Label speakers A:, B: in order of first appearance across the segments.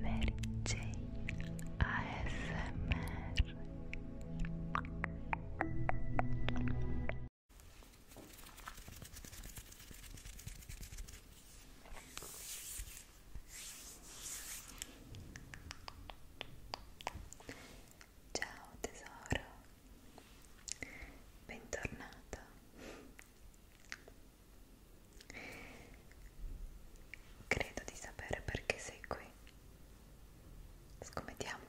A: Mary Jane ASMR Ciao tesoro, bentornata Credo di sapere perché sei qui. Scommettiamo.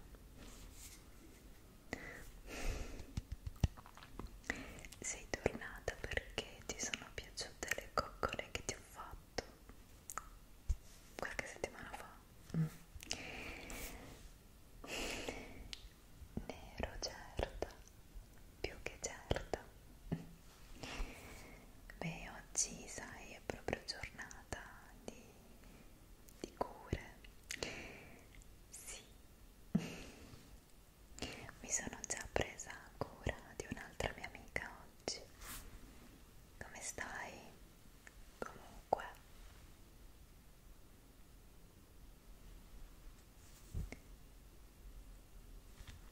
A: Sei tornata perché ti sono piaciute le coccole che ti ho fatto qualche settimana fa. Mm. Nero, certo più che certa beh oggi sai è proprio giornata di, di cure sì mi sono già presa cura di un'altra mia amica oggi come stai? comunque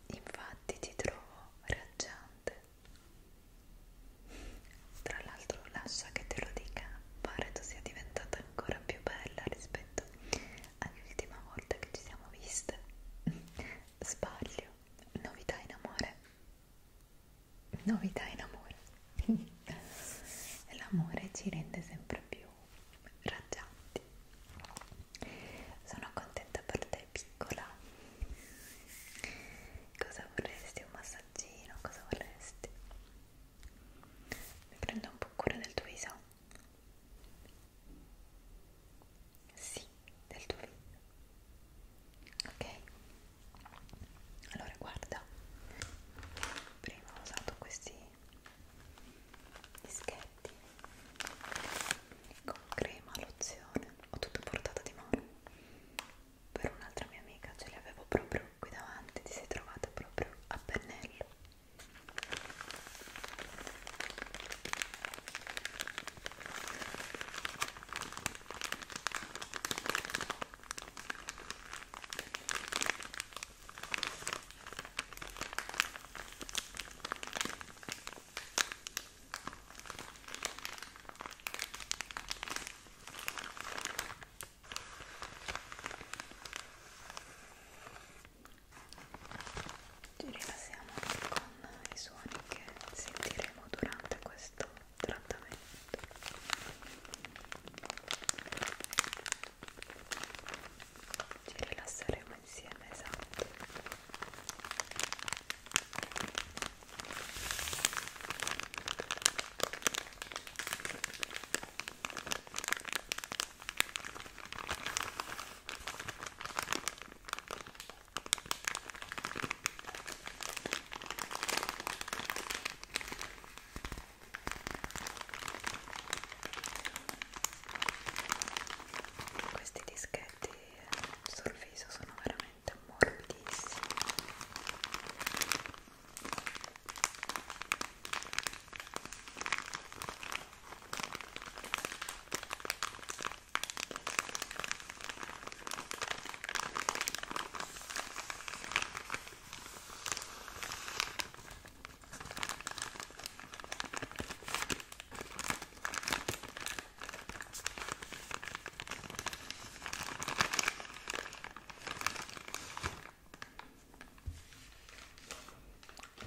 A: Infatti ti trovo raggiante. Tra l'altro lascia che te lo dica, pare tu sia diventata ancora più bella rispetto all'ultima volta che ci siamo viste. Sbaglio, novità in amore. Novità in amore. L'amore ci rende sempre più raggianti sono contenta per te piccola cosa vorresti? un massaggino? cosa vorresti? mi prendo un po' cura del tuo viso? sì, del tuo viso ok allora guarda prima ho usato questi dischetti con crema, lozione, ho tutto portato di mano per un'altra mia amica, ce li avevo proprio qui davanti, ti sei trovata proprio a pennello ci rilassiamo con i suoni che sentiremo durante questo trattamento ci rilasseremo insieme esatto questi dischetti sul viso sono veramente morbidissimi.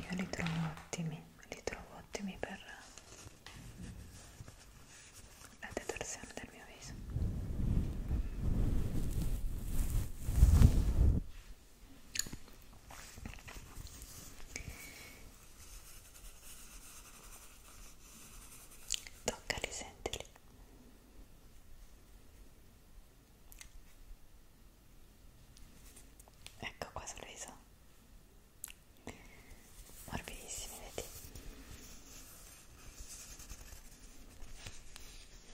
A: Io li trovo ottimi, li trovo ottimi per la detorsione del mio viso. Toccali, sentili. Ecco qua sul viso. Morbidissimi, vedi?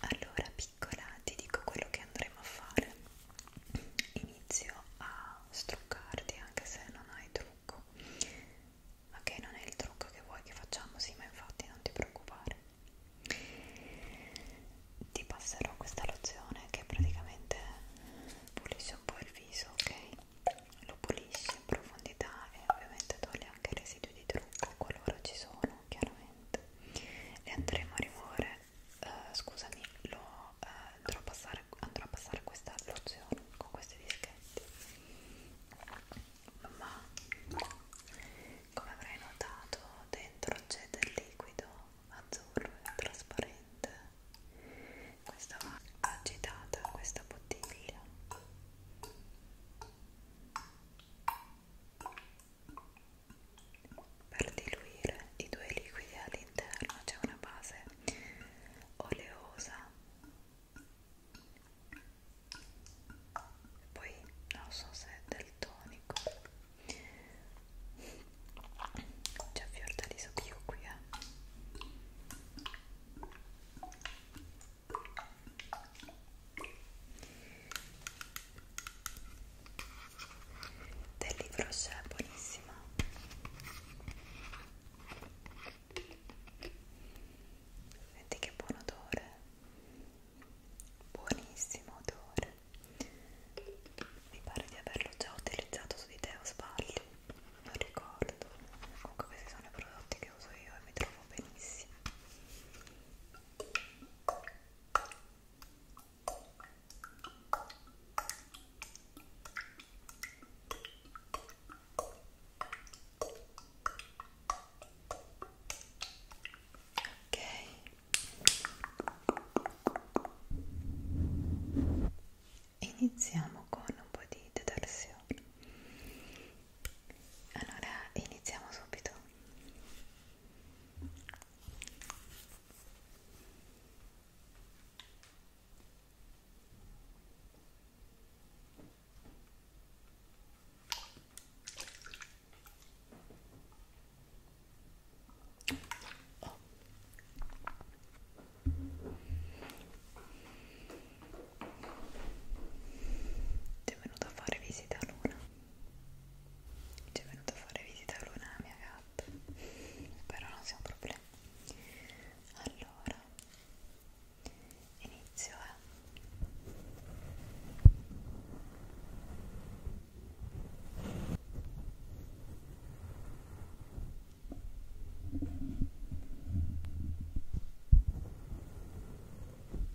A: Allora piccola ti dico quello che andremo a fare. Inizio a struccarti anche se non hai trucco. Ok, non è il trucco che vuoi che facciamo, sì, ma infatti non ti preoccupare. Ti passerò questa lozione che praticamente pulisce un po' il viso, ok? Lo pulisce in profondità e ovviamente toglie anche i residui di trucco qualora ci sono chiaramente le andremo a rimuovere uh, eh, scusami lo uh, andrò a passare andrò a passare questa lozione con questi dischetti ma come avrai notato dentro c'è del liquido azzurro e trasparente questa va agitata questa bottiglia per diluire i due liquidi all'interno c'è una base oleosa. Poi non so se è del tonico. C'è fior di soppio qui, eh del libro c'è buonissima senti che buon odore buonissimo odore mi pare di averlo già utilizzato su di te o sbaglio non ricordo comunque questi sono i prodotti che uso io e mi trovo benissimo Ok. Iniziamo con un po' di detersione allora iniziamo subito. Oh. Ti è venuto a fare visita a Luna ci è venuto a fare visita Luna, la mia gatta, però non siamo problemi. Allora, inizio, eh. Ecco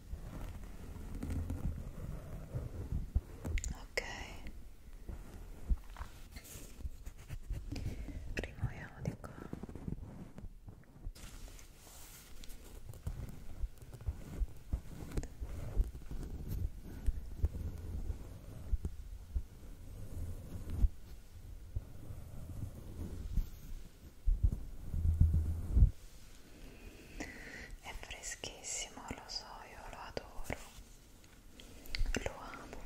A: ok rimuoviamo di qua ok è freschissimo, lo so, io lo adoro, lo amo.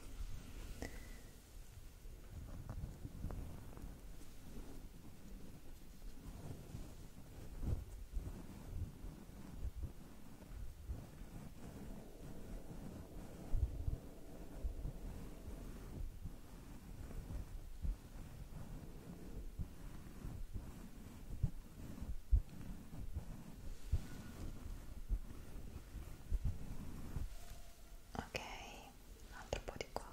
A: Ok, un altro po' di qua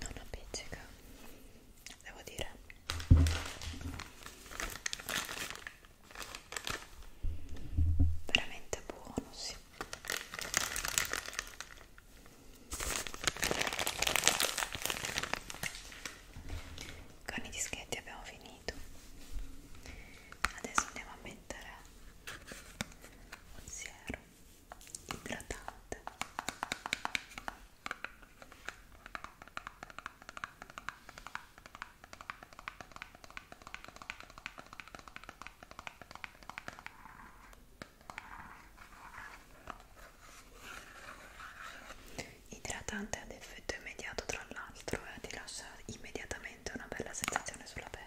A: non appiccica devo dire veramente buono sì con i dischetti abbiamo finito. Adesso andiamo a mettere un siero idratante. Ecco idratante ad effetto immediato tra l'altro e eh, ti lascia immediatamente una bella sensazione sulla pelle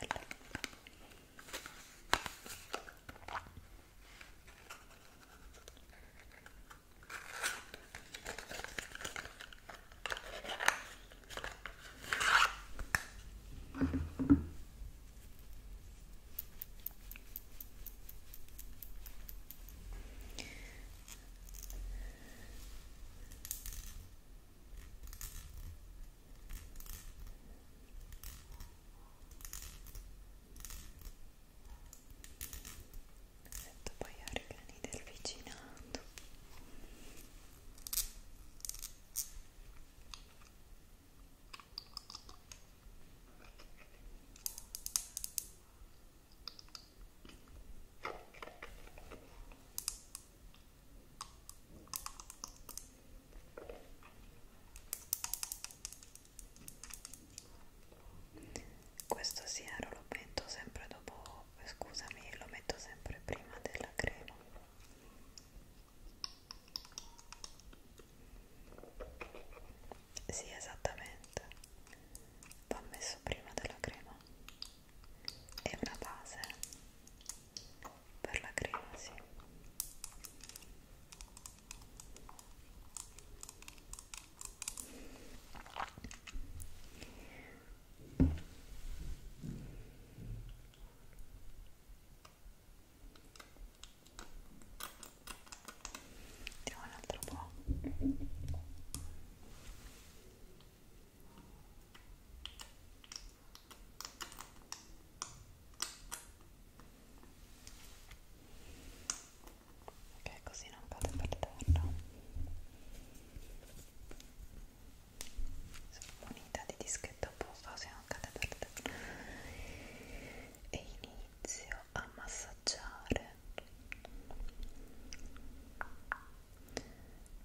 A: Sento poi gli organi del vicinato questo siero lo metto sempre dopo, scusami, lo metto sempre prima della crema. Sì, esattamente. Va messo prima della crema. È una base per la crema, sì. Mettiamo un altro po'. Ok, così non cade per terra sono munita di dischetto apposta se non cade per te e inizio a massaggiare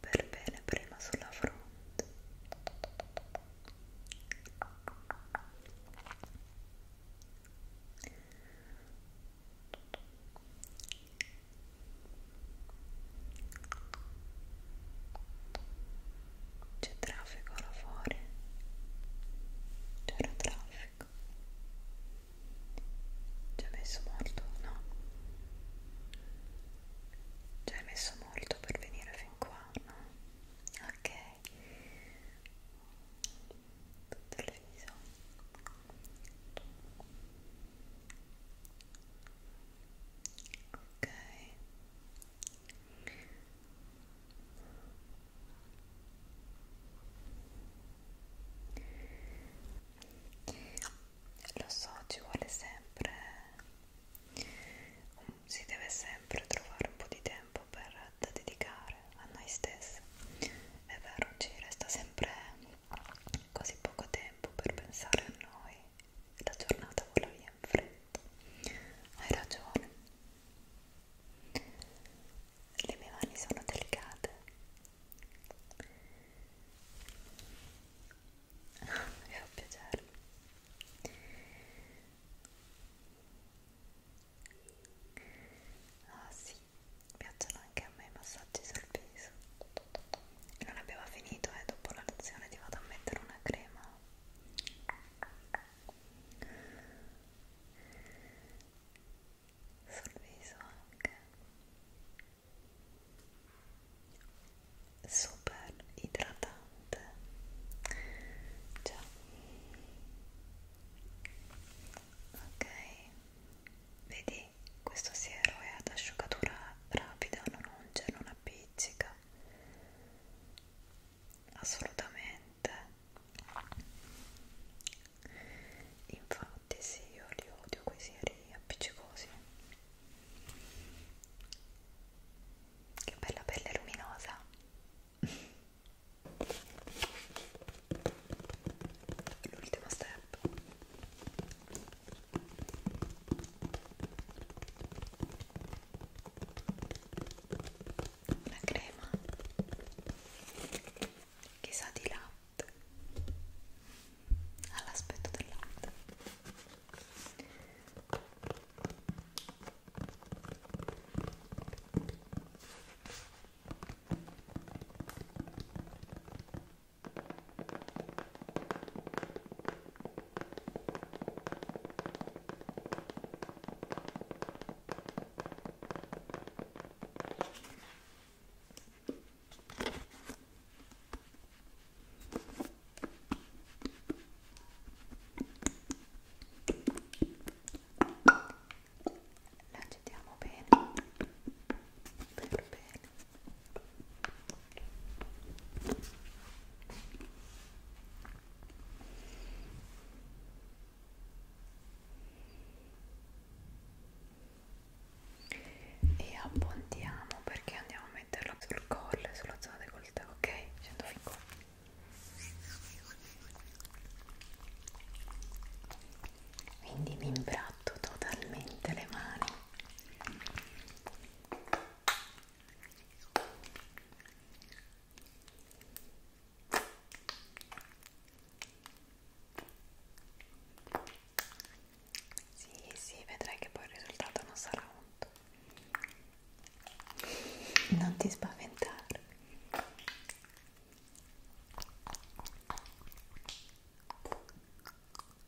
A: per bene prima sulla fronte c'è traffico là fuori. C'era traffico. Ci hai messo molto? No. Ci hai messo molto per venire fin qua, no? Ok. Tutto il viso ok lo so ci vuole sempre mm, si deve sempre trovare un po' di tempo per, da dedicare a noi stessi è vero ci resta sempre così poco tempo per pensare a noi la giornata vola via in fretta. Hai ragione. Le mie mani sono delicate. Mi fa piacere. Ah sì, piacciono anche a me i massaggi sul viso e non abbiamo finito e eh, dopo la lezione ti vado a mettere una crema sul viso anche super idratante già ok vedi questo siero è ad asciugatura rapida, non unge, non appiccica assolutamente infatti sì, io li odio quei sieri appiccicosi che bella pelle luminosa l'ultimo step una crema che sa di latte all'aspetto ah, del latte la agitiamo bene per bene e abbondiamo perché andiamo a metterlo sul collo e sulla zona decolletà ok? scendo fin qua quindi mi impratto totalmente le mani sì, sì, vedrai che poi il risultato non sarà molto. Non ti spaventare.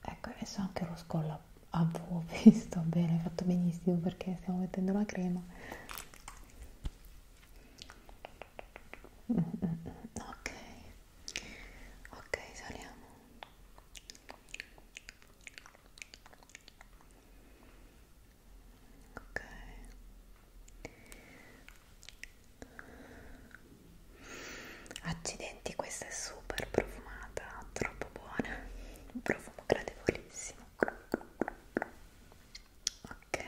A: ecco adesso anche lo scollo avevo visto bene hai fatto benissimo perché stiamo mettendo la crema ok ok saliamo ok accidenti questa è super profumata troppo buona un profumo gradevolissimo ok ok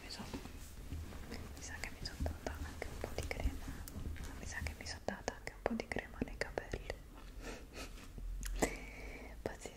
A: mi, so, mi sa che mi sono data anche un po' di crema mi sa che mi sono data anche un po' di crema nei capelli pazienza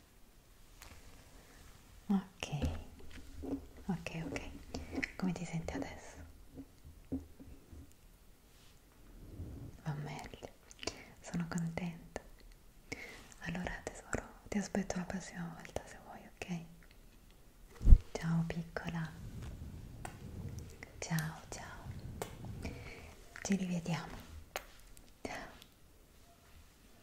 A: ok ok ok come ti senti adesso va meglio sono contenta allora tesoro ti aspetto la prossima volta se vuoi ok ciao piccola ciao ciao ci rivediamo ciao